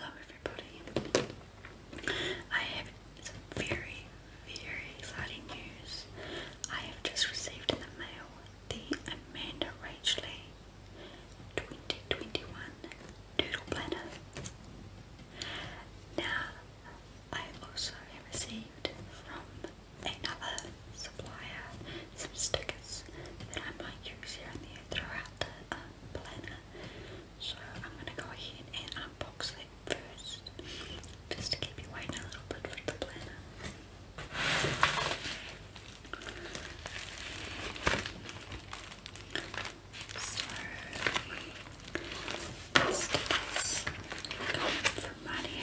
Hello everybody. I have some very, very exciting news. I have just received in the mail the Amanda Rachley 2021 Doodle Planner. Now, I also have received from another supplier some stickers that I might use here and there throughout the um, planner. So I'm going to go ahead and unbox it first, just to keep you waiting a little bit for the planner. So, this from Mario. 90.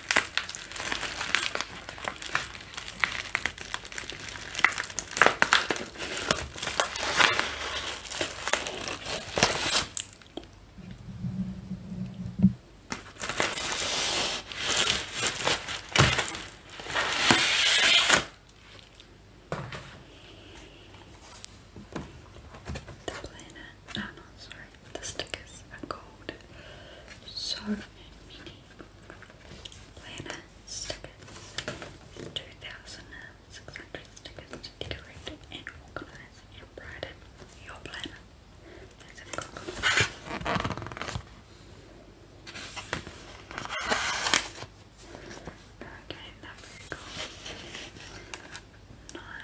The planet. Oh no, sorry. The stickers are called So Many Planner Stickers. 2,600 stickers to decorate and and brighten your planner. a good one. Okay, that's Nine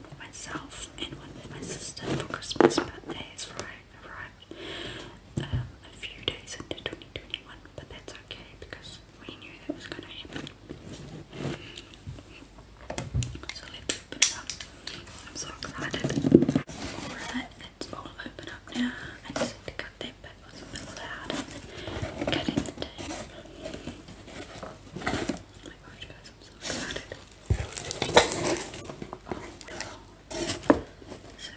myself and my sister for Christmas, but that arrived um, a few days into 2021. But that's okay because we knew that was going to happen. So let's open up. I'm so excited. Alright, it's all open up now. I just had to cut that bit, it was a bit loud. Cutting the tape. I'm so excited. Oh,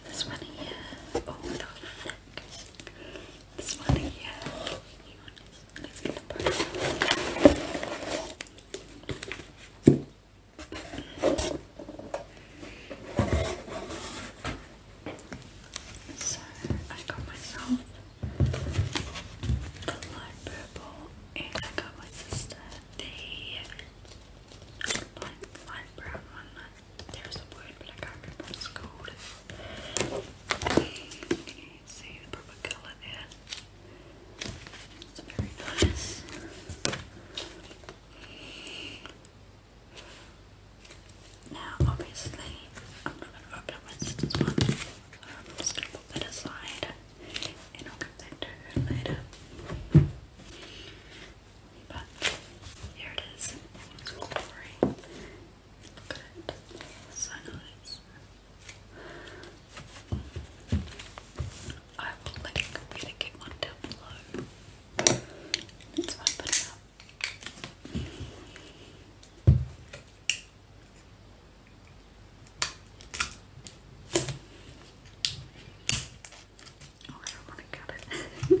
this one here. Oh the heck. This one here. So I got myself the light purple and I got my sister the light, brown one. There's a word, but I can't You can see the proper colour there. It's very nice. Now, obviously, I'm not going to open my sister's one. Um, put that aside and I'll get that to her later. But here it is. glory. Look So nice. I will link you to get one down below. Let's open it up. Oh, I don't want to cut it.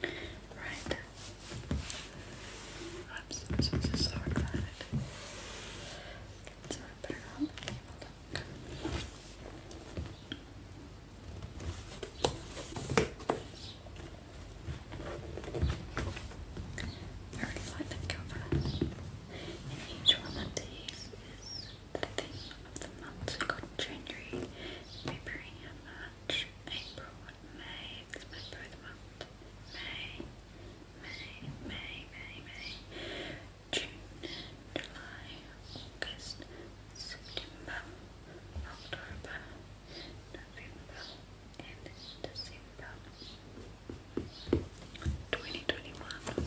Right. I'm so, so, so, excited. Let's wrap it around and give a look. Very light cover. each one of these is the theme of the months January, February, March, April, May, it's my birth month, May, May, May, May, May, June, July, August, September, October, November, and December. 2021.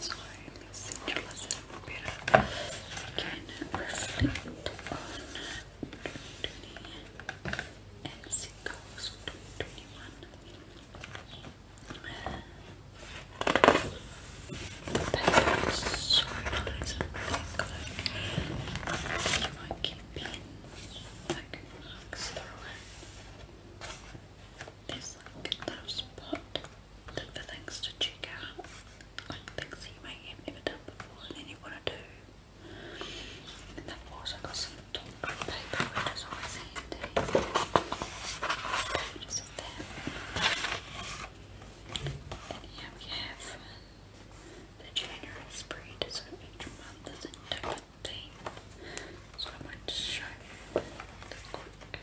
Sorry, my centralized computer can reflect on 2020 as it goes 2021. That is so nice and thick, like you might keep being like There's like a little spot for things to check out, like things you may have never done before and then you want to do. And then I've got some top paper which is always handy. And here we have um, the January spread, so each month is a different So I might just show the quick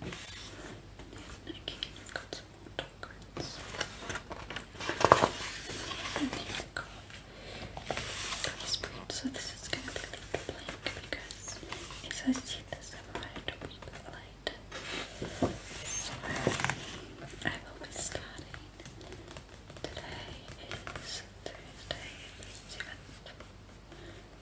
And again, I've got some more top grids. And here we So this is going to be a blank because it's associated with the light with the light. I will be starting today is Thursday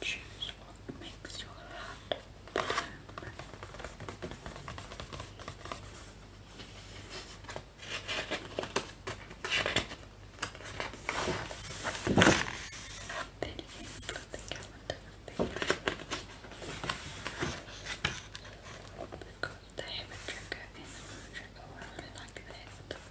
Choose what makes your heart bloom. Video from the calendar because they have a trigger and the trigger I really like that.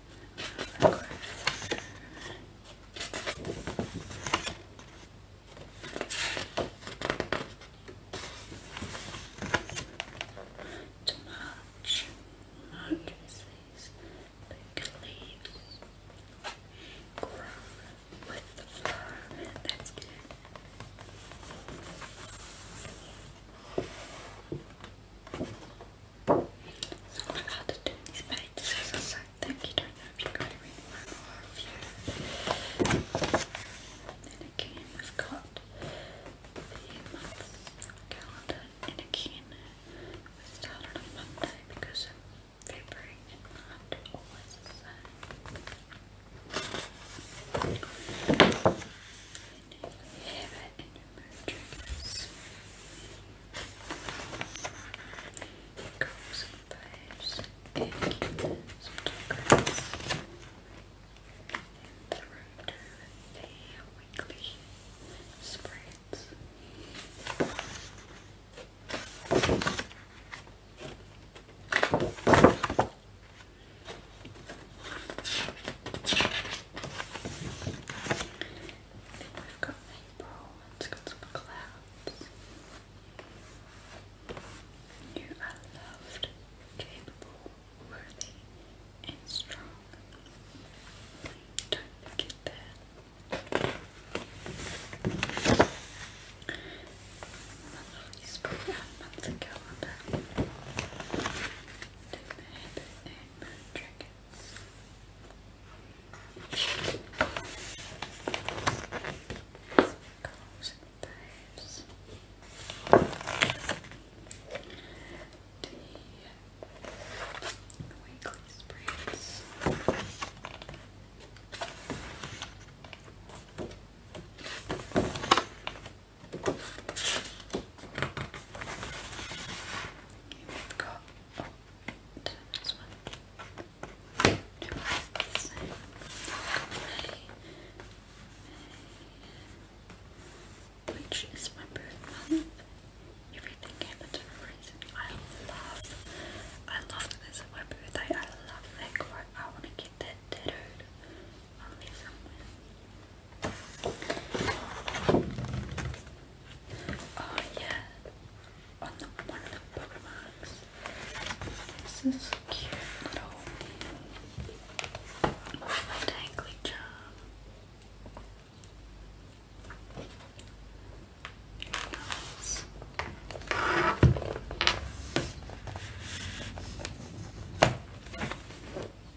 To mulch, mulch is these big leaves grow with the flower. That's good. So I had to turn these pages thank you, don't know if you got to read my review. And again, we've got the month calendar. And again, we started on Monday because February and March always the same triggers. Curls and fires and some talkers. And the road to the weekly spreads. Then have got clouds. You are loved, capable, worthy, and strong. Don't forget that. Monthly spoke out months ago on that. Take the habit and moon dragons types. The weekly spreads. Okay, we've which is my birth Everything happened for a reason. I love, I love that this my birthday. I love that I want to get that tattooed Oh yeah, one of the bookmarks. This is cute little dangly charm. Nice.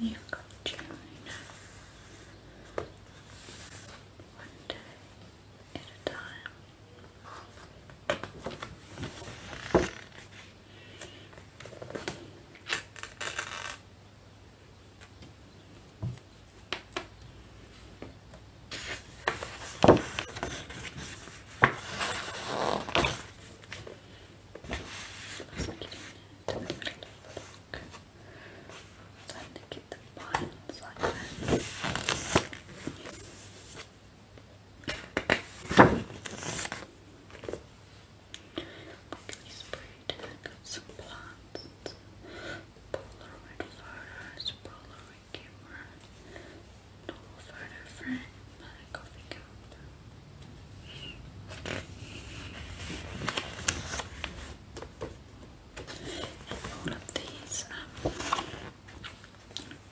You've got One day at a time. Time to get the bottoms like that. Luckily sprayed, got some plants, Polaroid flowers, Polaroid my camera. Normal photo frame, but a coffee cup. And all of these um,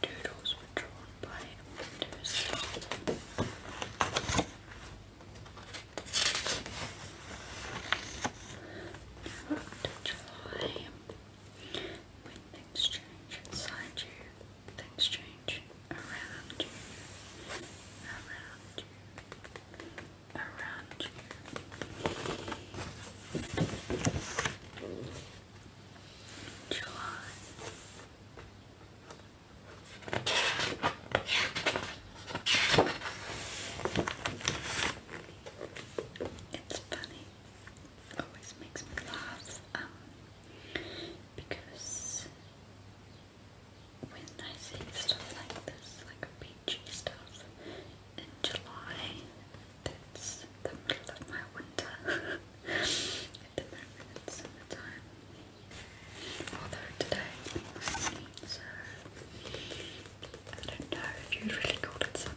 doodles were drawn by Windows. Um, July. When things change inside you, things change around you, around you, around you. July. It's funny always makes me laugh um, because when I see stuff like this, like beachy stuff in July, that's the middle of my winter at the moment it's summertime although today so I don't know if you'd really call it summer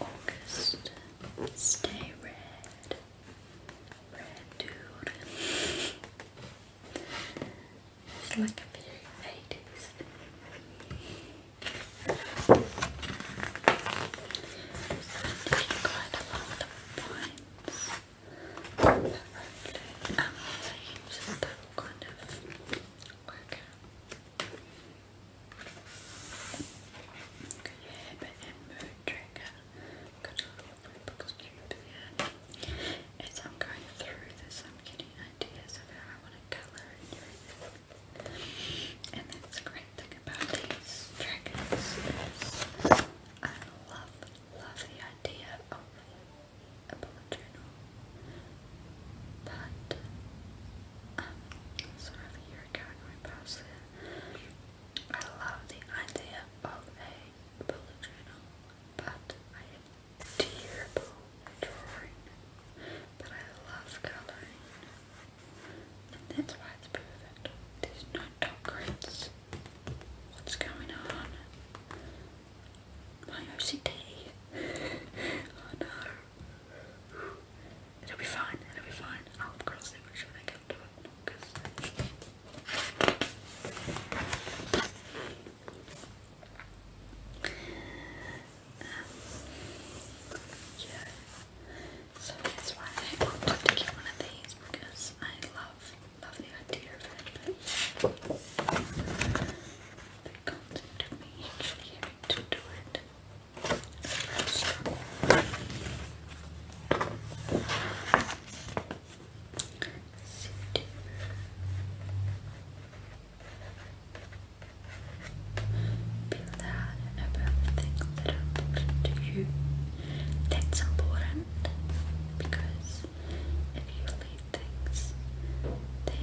August, stay red, red dude. It's like a very 80s. Um, so I did quite to lot of points that were really amazing, so kind of work Kun je hebben en tracker. Good because As I'm going through this, I'm getting ideas of how I want to color and everything. And that's a great thing about these trackers I love, love the idea of a bullet journal. But um, sort of a year going past it, I love the idea of a bullet journal, but I am terrible at drawing. But I love coloring, and that's why it's perfect. There's no top grades. What's going on? My OCD. oh no. It'll be fine, it'll be fine. I'll girls do it when I to it. Cause... So that's why I wanted to get one of these because I love love the idea of it it comes into me actually having to do it. Sit. Feel that everything that important to you. That's important because if you leave things that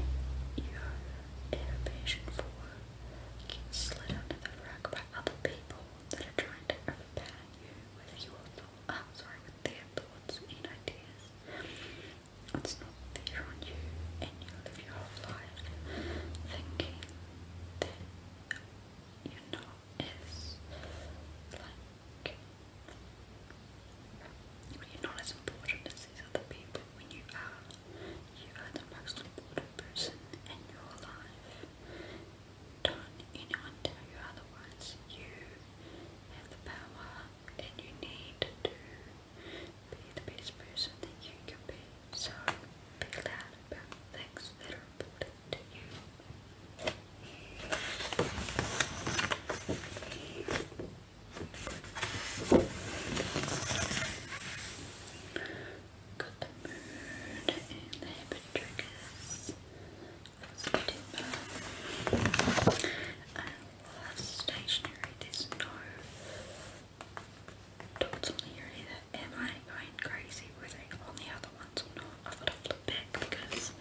you're Air Patient 4 slid under the rug by other people that are trying to overpower you with your thoughts, oh, sorry, with their thoughts and ideas. It's not fair on you, and you live your whole life thinking that you're not as, like, you're not as important as these other people when you are, you are the most important person in your life. Don't anyone tell you otherwise. You have the power and you need to be the best person that you can be. So be loud about things that are important to you. Got the mood and the habit triggers. September. I love stationery. There's no dots on here either. Am I going crazy with it the other ones or not? I've got to flip because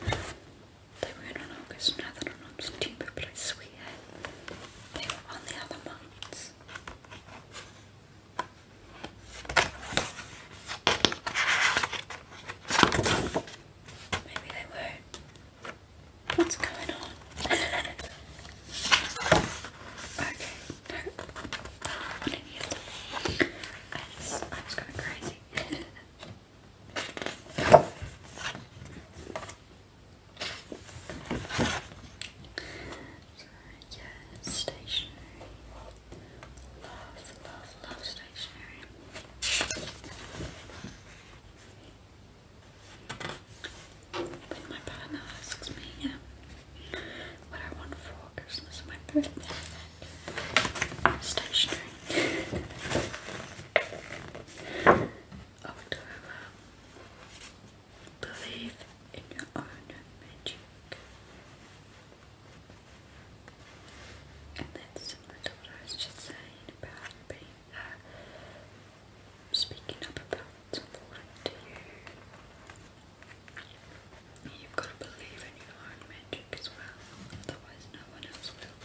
they were in August, now they're but I swear they were on the other months. Maybe they were What's going on? okay, no. I, I was going crazy. So, yeah, stationery. Love, love, love stationery. But my partner asks me yeah, what I want for Christmas my birthday. Stationery. October. Believe in your own magic. And that's similar to I was just about being uh, speaking up about what's to you. You've got to believe in your own magic as well, otherwise no one else will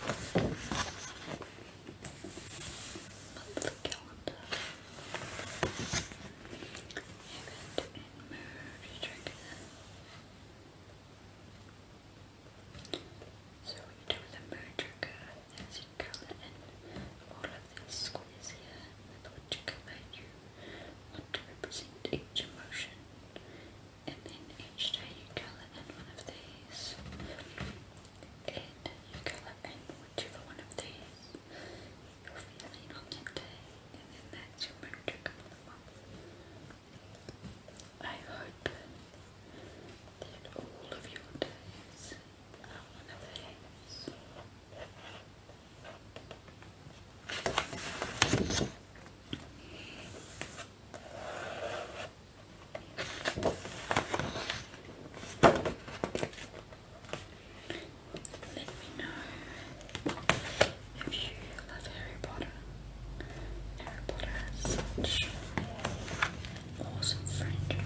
monthly calendar. Event and merge trigger. So we do the merge trigger as you color in all of these squares here with whichever color you want to represent each emotion. And then each day you colour in one of these and you can let and one of these you're feeling on that day, and then that's your magic for the month. I hope that all of your days are one of these. Let me know if you love Harry Potter. Harry Potter has such awesome franchise.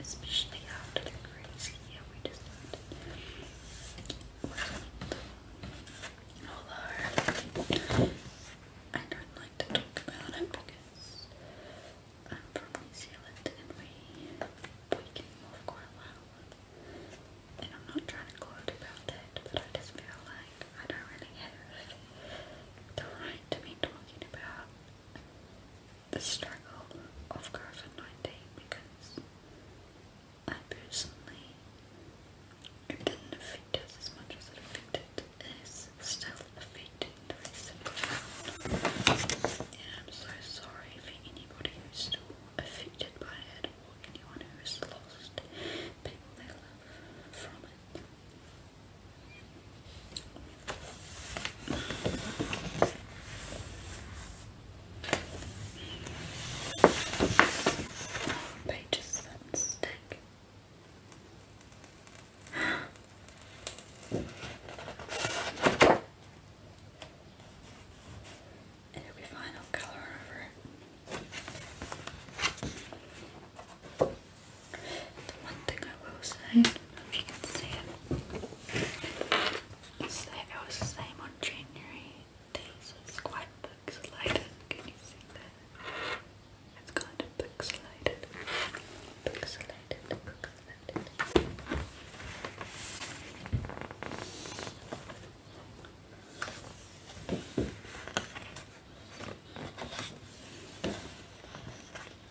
especially after the crazy year we just had. I don't like to talk about it because I'm from New Zealand and we we came off quite well. And I'm not trying to gloat about that, but I just feel like I don't really have the right to be talking about the struggle of COVID 19 because I personally, it didn't affect us as much as it affected, is still affecting the rest of I'm so sorry for anybody who's still affected by it or anyone who lost people they love from it. Pages that stick. It'll be final color over it one thing I will say, don't know if you can see it, is it was the same on January. These is quite pixelated. Can you see that? It's kind of pixelated. Pixelated, pixelated.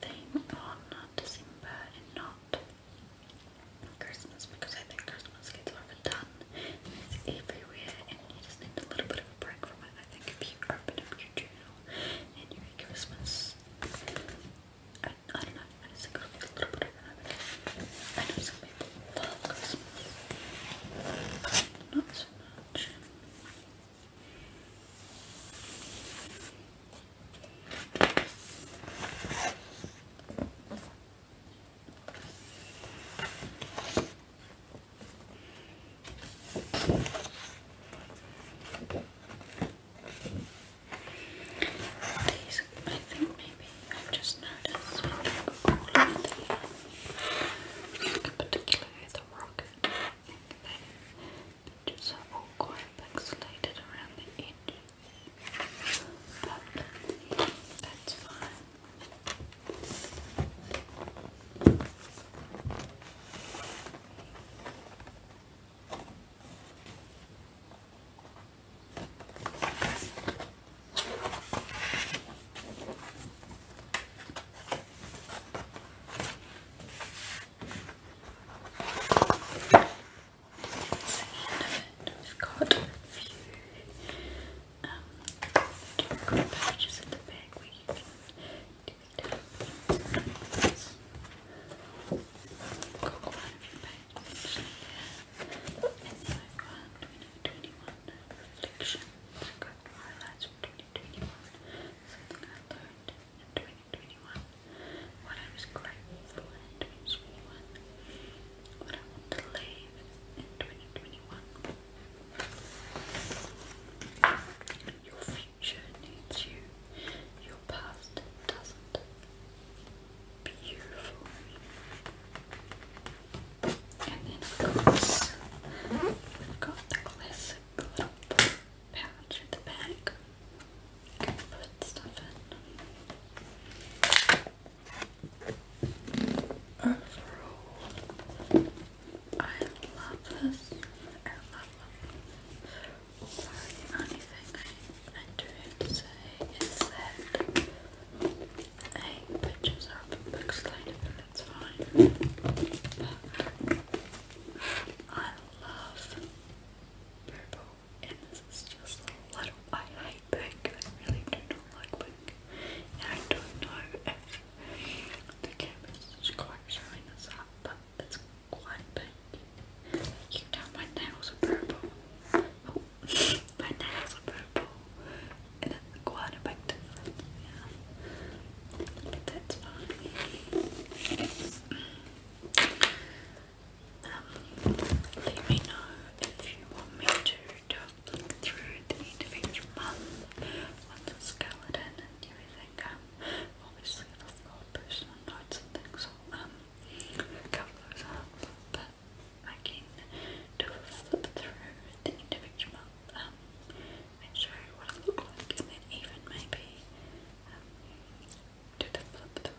thing on December and not Christmas because I think Christmas gets overdone and it's everywhere and you just need a little bit of a break from it. I think if you open up your journal and you read Christmas, I, don't know, I a little bit of an overload. I know some people love Christmas, not so much. These, I think maybe i just noticed all of them, the rocket. I think they edges are all quite pixelated around the edges, but that's fine. That's We've got a few um, different packages the back where you do little things like I've got quite a few pages actually here. And I've got 2021 Reflections. I've got highlights from 2021. Something I learned and 2021. What I was grateful for in 2021. What I want to leave in 2021. Your future needs you. Your past doesn't. Beautiful. And then of course we've got the classic little pouch or the bag. I put stuff in. Overall, I love this. I love them. I, do to say is I pictures are a big that's fine. I love purple, and this is just a little. I hate pink, I really do not like pink. I don't know if the canvas is quite showing this up, but it's quite pink. You can my nails are purple. Oh, my nails are purple. And it's quite a yeah but um, let me know if you want me to talk through the end month with the skeleton and everything. Um, obviously, I've personal notes and things, so um, cover those up. But I can do a flip through the end month um, show you what it looked like, and then even maybe um, do the flip the,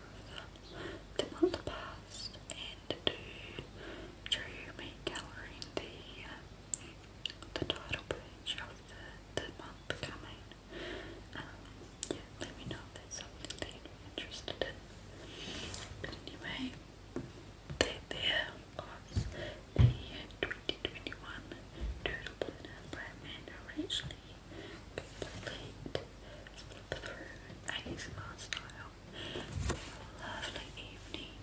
month past and do through me colouring the um, the title page of the, the month coming. Um, yeah, let me know if something that you're interested But anyway, there of the 2021 Doodle Planner by Complete slip through ASMR style. Have a lovely evening,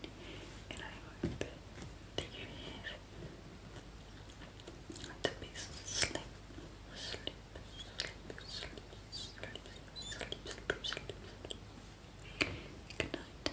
and I hope that you have the best sleep. Sleep, sleep, sleep, sleep, sleep, sleep, sleep. Good night.